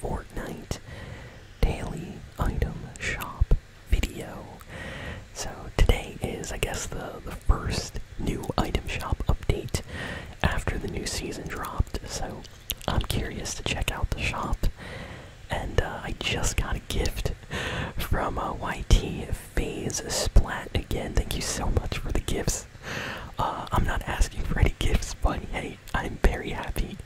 Fortnite daily item shop video. So today is, I guess, the, the first new item shop update after the new season dropped. So I'm curious to check out the shop. And uh, I just got a gift from uh, YT Phase Splat again. Thank you so much for the gifts. Uh, I'm not asking for any gifts, but hey, I'm very happy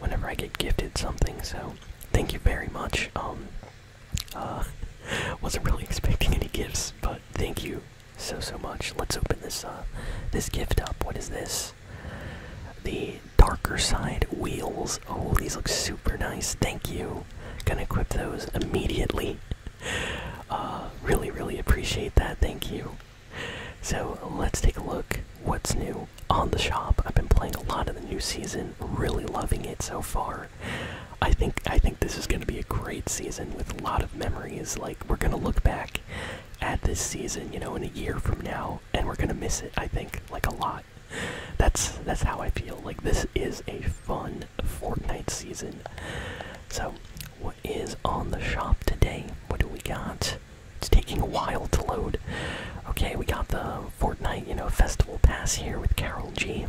whenever I get gifted something, so thank you very much. Um uh, wasn't really expecting any gifts, but thank you so so much. Let's open this uh this gift up. What is this? The darker side wheels. Oh, these look super nice. Thank you. Gonna equip those immediately. Uh, really, really appreciate that. Thank you. So let's take a look what's new on the shop. I've been playing a lot of the new season, really loving it so far. I think I think this is going to be a great season with a lot of memories. Like we're going to look back at this season, you know, in a year from now and we're going to miss it, I think, like a lot. That's that's how I feel. Like this is a fun Fortnite season. So, what is on the shop today? What do we got? It's taking a while to load. Okay, we got the Fortnite, you know, festival pass here with Carol G.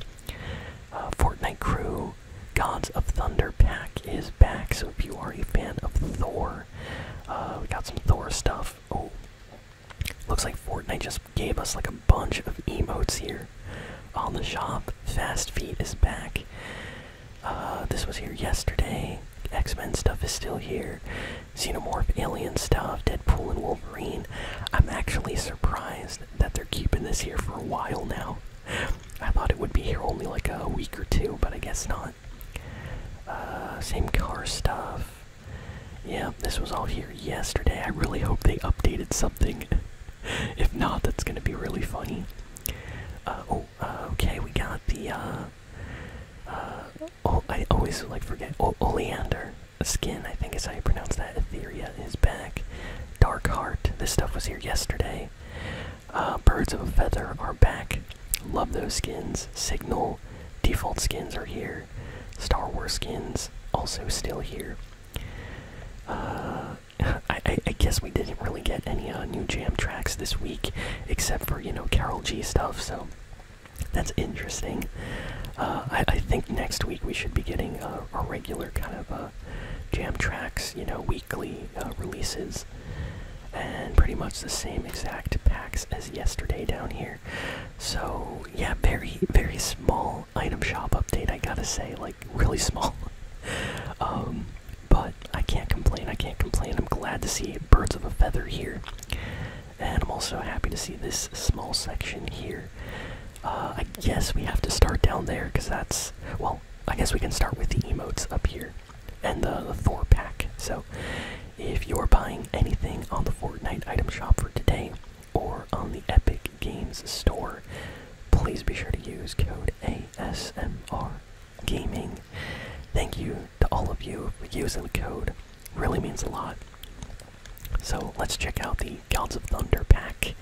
Uh, Fortnite crew, Gods of Thunder pack is back. So if you are a fan of Thor, uh, we got some Thor stuff. Oh, looks like Fortnite just gave us like a bunch of emotes here on the shop. Fast Feet is back. Uh, this was here yesterday. X Men stuff is still here. Xenomorph Alien stuff, Deadpool and Wolverine. I'm actually surprised that they're keeping this here for a while now. I thought it would be here only like a week or two, but I guess not. Uh, same car stuff. Yeah, this was all here yesterday. I really hope they updated something. if not, that's gonna be really funny. Uh, oh, Oh, okay, we got the. Uh, uh, oh, I always like forget. Oh, oleander skin, I think is how you pronounce that. Etheria is back. Dark Heart, this stuff was here yesterday. Birds of a Feather are back. Love those skins. Signal, default skins are here. Star Wars skins also still here. I, I, guess we didn't really get any uh, new jam tracks this week, except for, you know, Carol G stuff, so that's interesting. Uh, I, I think next week we should be getting uh, a regular kind of uh, jam tracks, you know, weekly releases, and pretty much the same exact packs as yesterday down here. So, yeah, very, very small item shop update, I gotta say, like, really small. um, but I can't complain. I can't complain. I'm glad to see birds of a feather here, and I'm also happy to see this small section here. Uh, I guess we have to start down there because that's well. I guess we can start with the emotes up here and the, the Thor pack. So, if you're buying anything on the Fortnite item shop for today or on the Epic Games store, please be sure to use code ASMR Gaming. Thank you to all of you for using the code. Really means a lot. So let's check out the Gods of Thunder pack.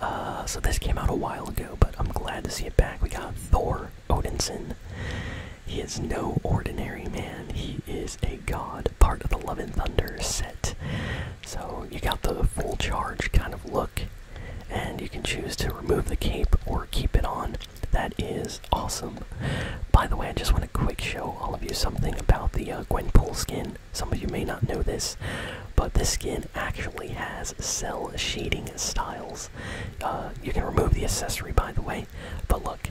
Uh, so this came out a while ago, but I'm glad to see it back. We got Thor Odinson. He is no ordinary man. He is a god, part of the Love and Thunder set. So you got the full charge kind of look and you can choose to remove the cape or keep it on. That is awesome. By the way, I just want to quick show all of you something about the uh, Gwenpool skin. Some of you may not know this, but this skin actually has cell shading styles. Uh, you can remove the accessory, by the way, but look.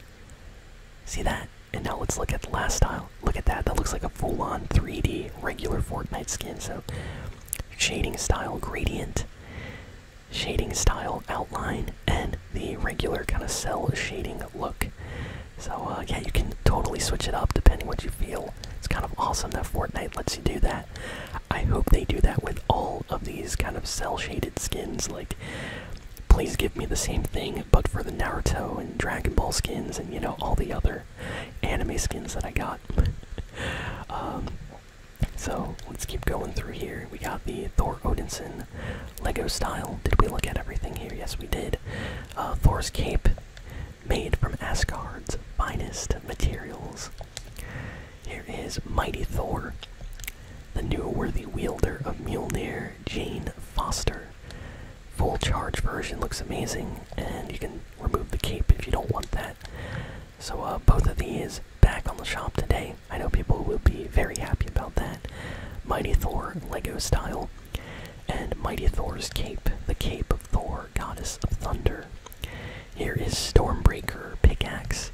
See that? And now let's look at the last style. Look at that. That looks like a full on 3D regular Fortnite skin. So, shading style gradient shading style outline and the regular kind of cell shading look. So, uh, yeah, you can totally switch it up depending what you feel. It's kind of awesome that Fortnite lets you do that. I hope they do that with all of these kind of cell shaded skins. Like, please give me the same thing, but for the Naruto and Dragon Ball skins and, you know, all the other anime skins that I got. Um, so let's keep going through here. We got the Thor Odinson Lego style. Did we look at everything here? Yes, we did. Uh, Thor's cape, made from Asgard's finest materials. Here is Mighty Thor, the new worthy wielder of Mjolnir, Jane Foster. Full charge version looks amazing, and you can remove the cape if you don't want that. So uh, both of these back on the shop today. I know people will be very happy about that. Mighty Thor Lego style, and Mighty Thor's cape, the cape of Thor, goddess of thunder. Here is Stormbreaker pickaxe,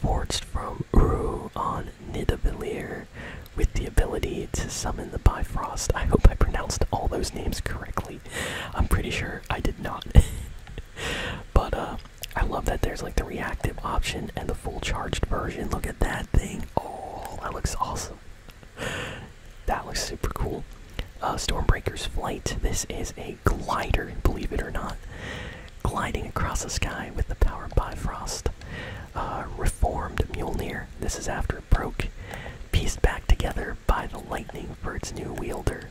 forged from Uru on Nidavellir, with the ability to summon the Bifrost. I hope I pronounced all those names correctly. I'm pretty sure I did not. but uh, I love that there's like the reactive option and the full charged version. Look at that thing! Oh, that looks awesome. That looks super cool. Uh, Stormbreaker's flight. This is a glider, believe it or not, gliding across the sky with the power of Bifrost. Uh, reformed Mjolnir. This is after it broke, pieced back together by the lightning for its new wielder.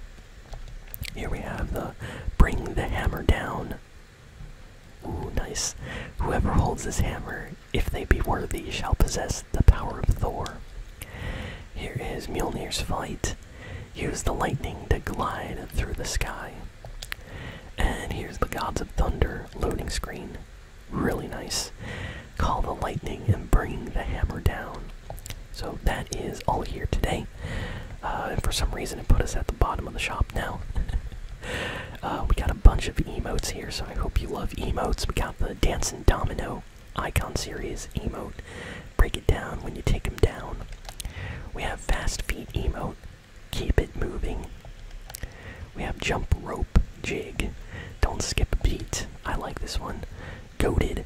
Here we have the bring the hammer down. Ooh, nice. Whoever holds this hammer, if they be worthy, shall possess the power of Thor. Here is Mjolnir's fight. Use the lightning to glide through the sky. And here's the Gods of Thunder loading screen. Really nice. Call the lightning and bring the hammer down. So that is all here today. Uh, and for some reason, it put us at the bottom of the shop now. Uh, we got a bunch of emotes here, so I hope you love emotes. We got the Dancing Domino Icon Series emote. Break it down when you take him down. We have Fast Feet emote. Keep it moving. We have Jump Rope Jig. Don't skip a beat. I like this one. Goaded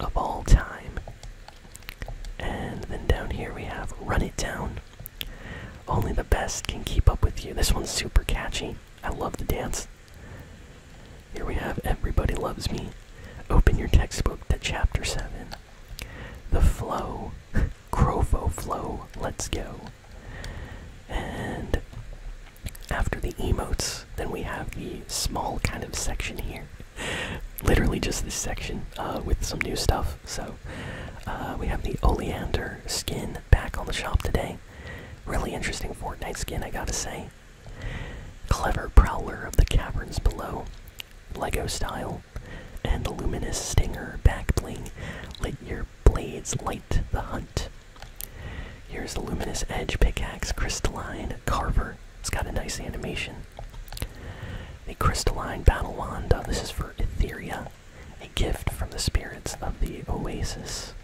of all time. And then down here we have Run It Down. Only the best can keep up with you. This one's super catchy. I love the dance. Here we have Everybody Loves Me. Open your textbook to Chapter 7. The Flow. Crofo Flow. Let's go. And after the emotes, then we have the small kind of section here. Literally just this section uh, with some new stuff. So uh, we have the Oleander skin back on the shop today. Really interesting Fortnite skin, I gotta say. Clever Prowler of the Caverns Below, Lego style, and Luminous Stinger back bling. Let your blades light the hunt. Here's the Luminous Edge pickaxe, crystalline carver. It's got a nice animation. The crystalline battle wand. Uh, this is for Etheria, a gift from the spirits of the oasis.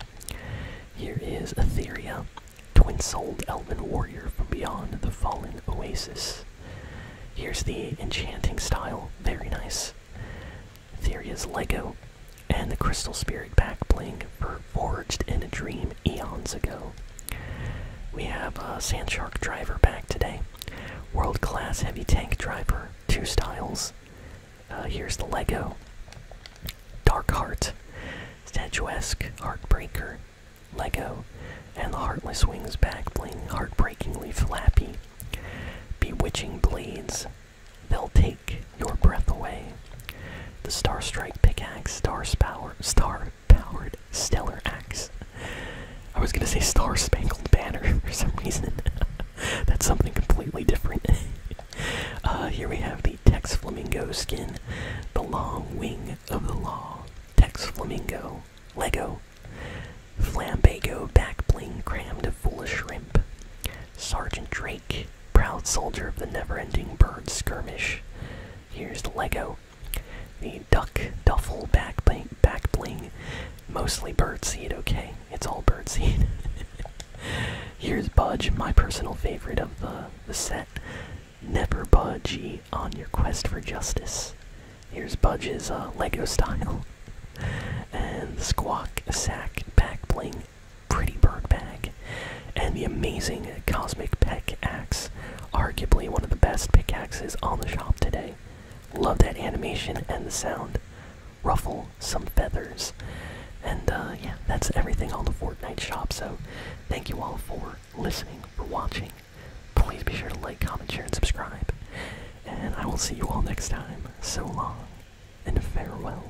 Here is Etheria, twin-souled elven warrior from beyond the fallen oasis. Here's the enchanting style, very nice. Etherea's Lego, and the crystal spirit back bling for forged in a dream eons ago. We have a Sand Shark driver back today. World class heavy tank driver, two styles. Uh, here's the Lego. Dark Heart, Statuesque Heartbreaker, Lego, and the Heartless Wings back bling, heartbreakingly flappy. Bewitching Blades, they'll take your breath away. The Star Strike Pickaxe, Star Power, Star Powered Stellar Axe. I was gonna say Star Spangled Banner for some reason. That's something completely different. Uh, here we have the Tex Flamingo skin, the long wing of the law, Tex Flamingo, Lego, Flambago back bling crammed of foolish shrimp, Sergeant Drake, Proud soldier of the never-ending bird skirmish. Here's the Lego. The duck duffle back bling, back bling. Mostly birdseed, okay. It's all birdseed. Here's Budge, my personal favorite of the, the set. Never budgee on your quest for justice. Here's Budge's uh, Lego style. And the squawk, sack, back bling pretty bird bag, and the amazing cosmic pickaxe, arguably one of the best pickaxes on the shop today. Love that animation and the sound. Ruffle some feathers, and uh, yeah, that's everything on the Fortnite shop. So, thank you all for listening, for watching. Please be sure to like, comment, share, and subscribe. And I will see you all next time. So long, and farewell.